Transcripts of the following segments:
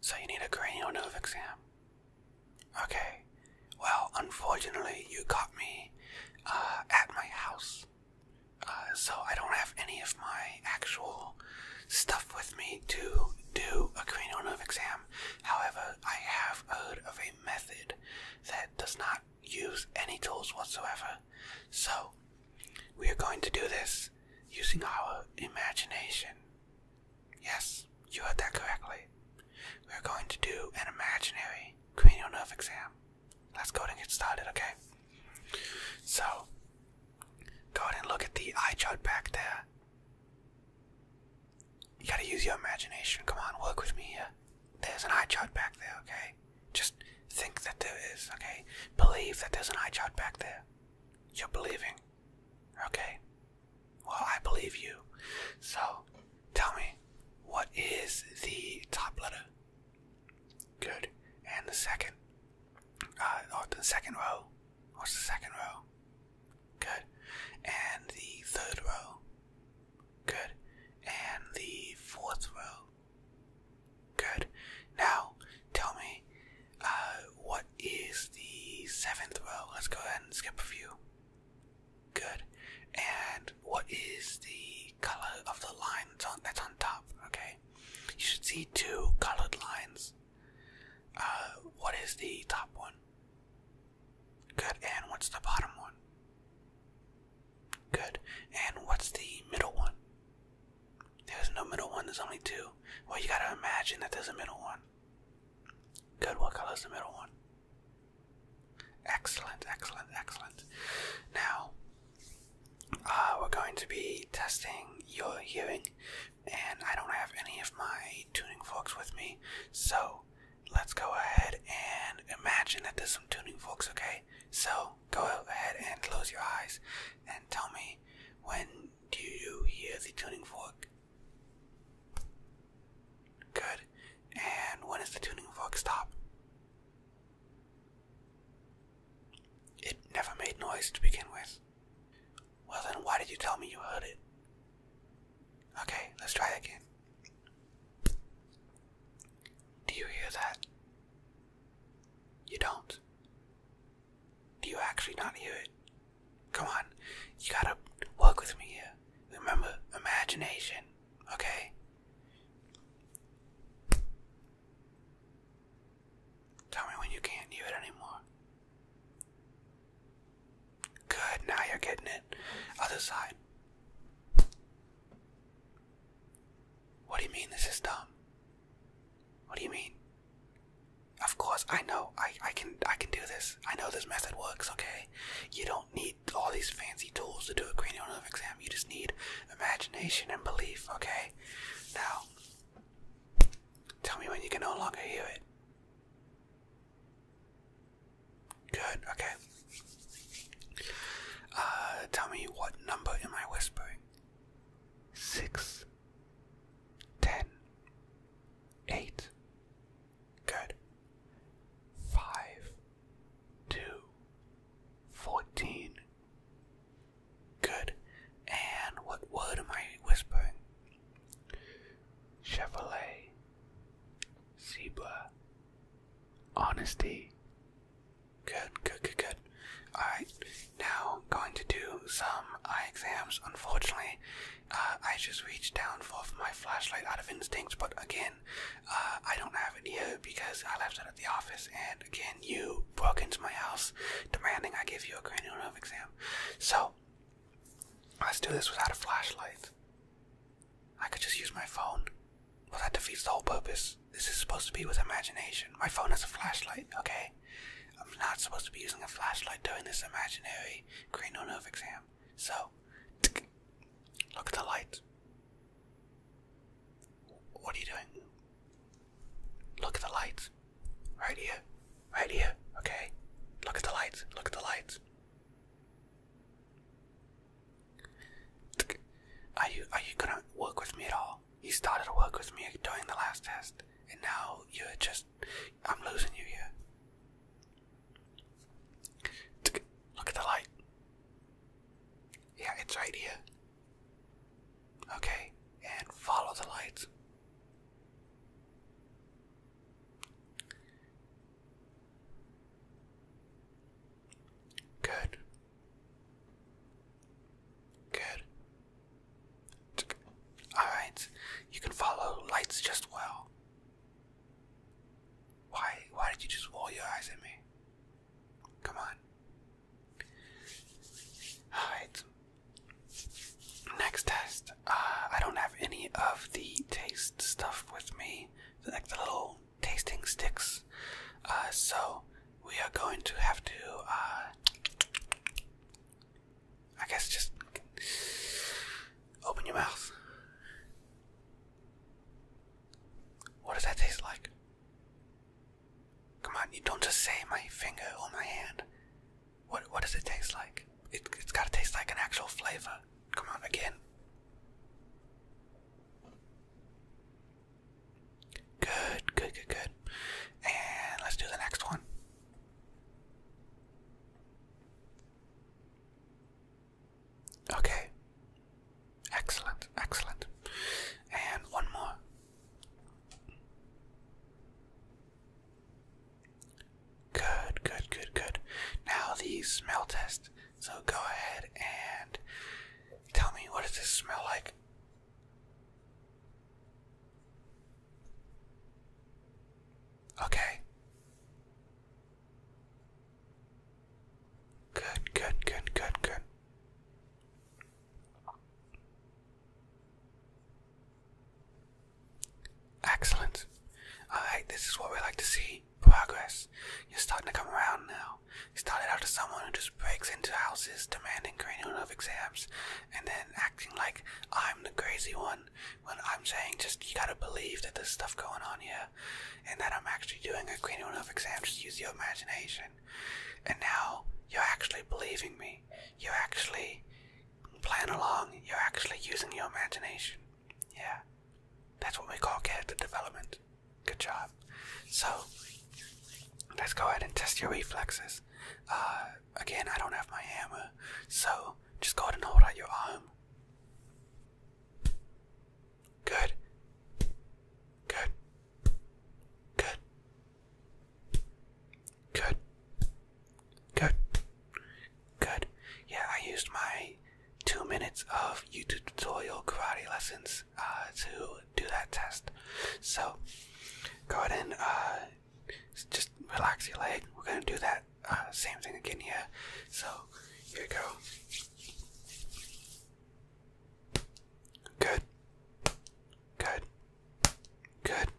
So you need a cranial nerve exam. Okay. Well, unfortunately, you got me uh, at my house, uh, so I don't have any of my actual stuff with me to do a cranial nerve exam. However, I have heard of a method that does not use any tools whatsoever. So, we are going to do this using our imagination. Yes, you heard that correctly. We are going to do an imaginary cranial nerve exam. Let's go ahead and get started, okay? So, go ahead and look at the eye chart back there. You gotta use your imagination. Come on, work with me There's an eye chart back there, okay? Just think that there is, okay? Believe that there's an eye chart back there. You're believing, okay? Well, I believe you. So, tell me, what is the top letter? Good. And the second, uh, or the second row. What's the second row? Good. And the third row. Good. And the fourth row. Good. Now, tell me, uh, what is the seventh row? Let's go ahead and skip a few. Good. And what is the color of the lines that's on, that's on top? Okay. You should see two colored lines. Uh, what is the top one? Good, and what's the bottom one? Good, and what's the middle one? There's no middle one, there's only two. Well, you gotta imagine that there's a middle one. Good, what color's the middle one? Excellent, excellent, excellent. Now, uh, we're going to be testing your hearing, and I don't have any of my tuning forks with me, so let's go ahead and imagine that there's some tuning forks, okay? So go ahead and close your eyes and tell me when do you hear the tuning fork? Good. And when does the tuning fork stop? It never made noise to begin with. Well, then why did you tell me you heard it? Okay, let's try that again. Do you hear that? You don't. Do you actually not hear it? Come on, you gotta work with me here. Remember, imagination, okay? Tell me when you can't hear it anymore. Good, now you're getting it. Other side. What do you mean this is dumb? What do you mean? Of course, I know. I, I can I can do this. I know this method works, okay? You don't need all these fancy tools to do a cranial nerve exam. You just need imagination and belief, okay? Now, tell me when you can no longer hear it. Good, okay. Uh, tell me what number am I whispering? Six, ten, eight. Good. Five, two, fourteen. Good. And what word am I whispering? Chevrolet, Zebra, Honesty. Good, good, good, good. Alright, now going to do some eye exams. Unfortunately, uh, I just reached down for my flashlight out of instinct, but again, uh, I don't have it here because I left it at the office, and again, you broke into my house demanding I give you a cranial nerve exam. So, Let's do this without a flashlight. I could just use my phone. but that defeats the whole purpose. This is supposed to be with imagination. My phone has a flashlight, okay? I'm not supposed to be using a flashlight during this imaginary cranial nerve exam. So, look at the light. What are you doing? Look at the lights. Right here. Right here. Okay? Look at the lights. Look at the lights. Are you are you gonna work with me at all? You started to work with me during the last test, and now you're just I'm losing you here. Look at the light. Yeah, it's right here. Okay, and follow the lights. Good. Good. Alright. You can follow lights just well. Why why did you just roll your eyes at me? Come on. Alright. Next test. Uh, I don't have any of the taste stuff with me, like the little tasting sticks. Uh, so we are going to have to, uh, I guess, just open your mouth. What does that taste like? Come on, you don't just say my finger or my hand. What what does it taste like? It, it's gotta taste like an actual flavor. Come on, again. Good, good, good, good. And let's do the next one. Okay. Excellent, excellent. And one more. Good, good, good, good. Now these smell tests. So go ahead and tell me what does this smell like? Okay. Good, good, good, good, good. Excellent. Alright, this is what we like to see. Progress. You're starting to come around now. You started out as someone who just breaks into houses demanding cranial nerve exams and then acting like I'm the crazy one when I'm saying just you gotta believe that there's stuff going on here and that I'm actually doing a cranial nerve exam. Just use your imagination. And now you're actually believing me. You're actually playing along. You're actually using your imagination. Yeah. That's what we call character development. Good job. So, let's go ahead and test your reflexes. Uh, again, I don't have my hammer, so just go ahead and hold out your arm. Good. Good. Good. Good. Good. Good. Yeah, I used my two minutes of YouTube tutorial karate lessons uh, to do that test. So go ahead and uh, just relax your leg. We're gonna do that uh, same thing again here. So here we go. Good. Good. Good.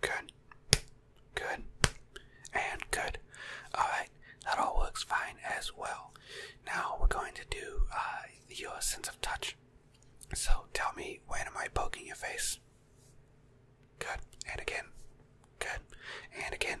Good. Good. And good. Alright, that all works fine as well. Now we're going to do uh, your sense of touch. So tell me, when am I poking your face? Good. And again. Good. And again.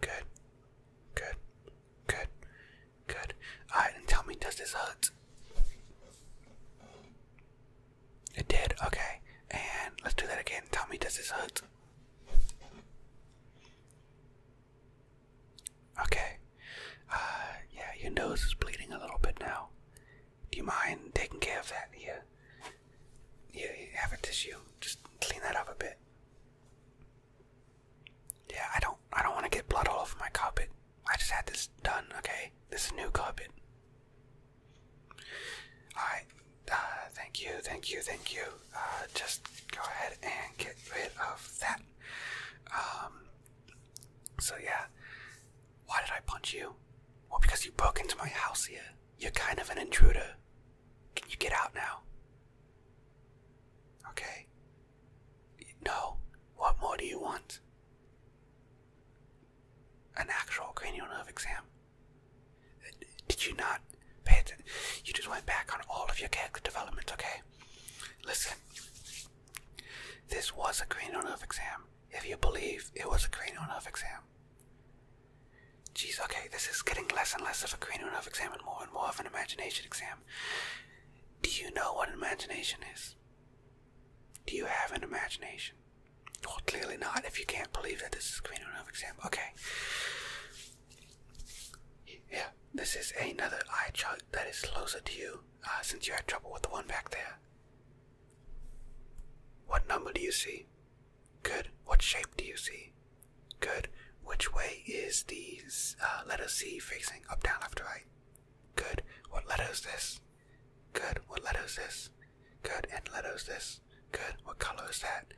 Good. Good. Good. Good. Alright, and tell me, does this hurt? It did, okay. And let's do that again. Tell me, does this hurt? Okay. Uh, yeah, your nose is bleeding a little bit now. Do you mind taking care of that? Yeah. Yeah, have a tissue. Just clean that up a bit. Yeah, I don't I don't want to get blood all over my carpet. I just had this done, okay? This is new carpet. Alright, uh, thank you, thank you, thank you. Uh, just go ahead and get rid of that. Um, so yeah, why did I punch you? Well, because you broke into my house here. You're kind of an intruder. Can you get out now? Okay? No. What more do you want? An actual cranial nerve exam. Did you not pay attention? You just went back on all of your character development, okay? Listen. This was a cranial nerve exam. If you believe it was a cranial nerve exam, Jeez, okay, this is getting less and less of a cranial nerve exam and more and more of an imagination exam. Do you know what an imagination is? Do you have an imagination? Well, clearly not if you can't believe that this is a cranial exam. Okay. Yeah, this is another eye chart that is closer to you uh, since you had trouble with the one back there. What number do you see? Good. What shape do you see? Good. Which way is these? uh, letter C facing? Up, down, left, right? Good. What letter is this? Good. What letter is this? Good. And letter is this? Good. What color is that?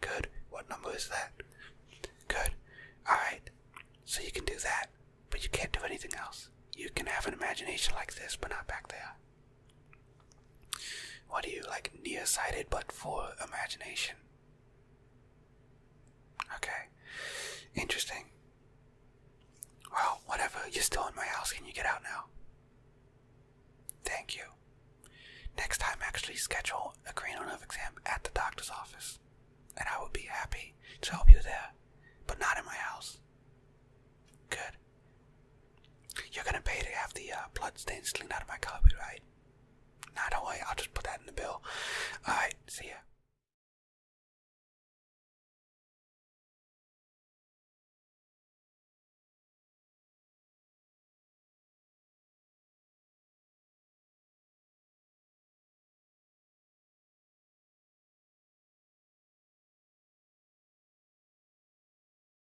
Good. What number is that? Good. Alright. So you can do that, but you can't do anything else. You can have an imagination like this, but not back there. What are you like nearsighted but for imagination? Okay. Interesting. Well, whatever, you're still in my house, can you get out now? Thank you. Next time actually schedule a cranial nerve exam at the doctor's office. And I will be happy to help you there, but not in my house. Good. You're gonna pay to have the uh, blood stains cleaned out of my copy, right? Nah, don't worry, I'll just put that in the bill. Alright, see ya.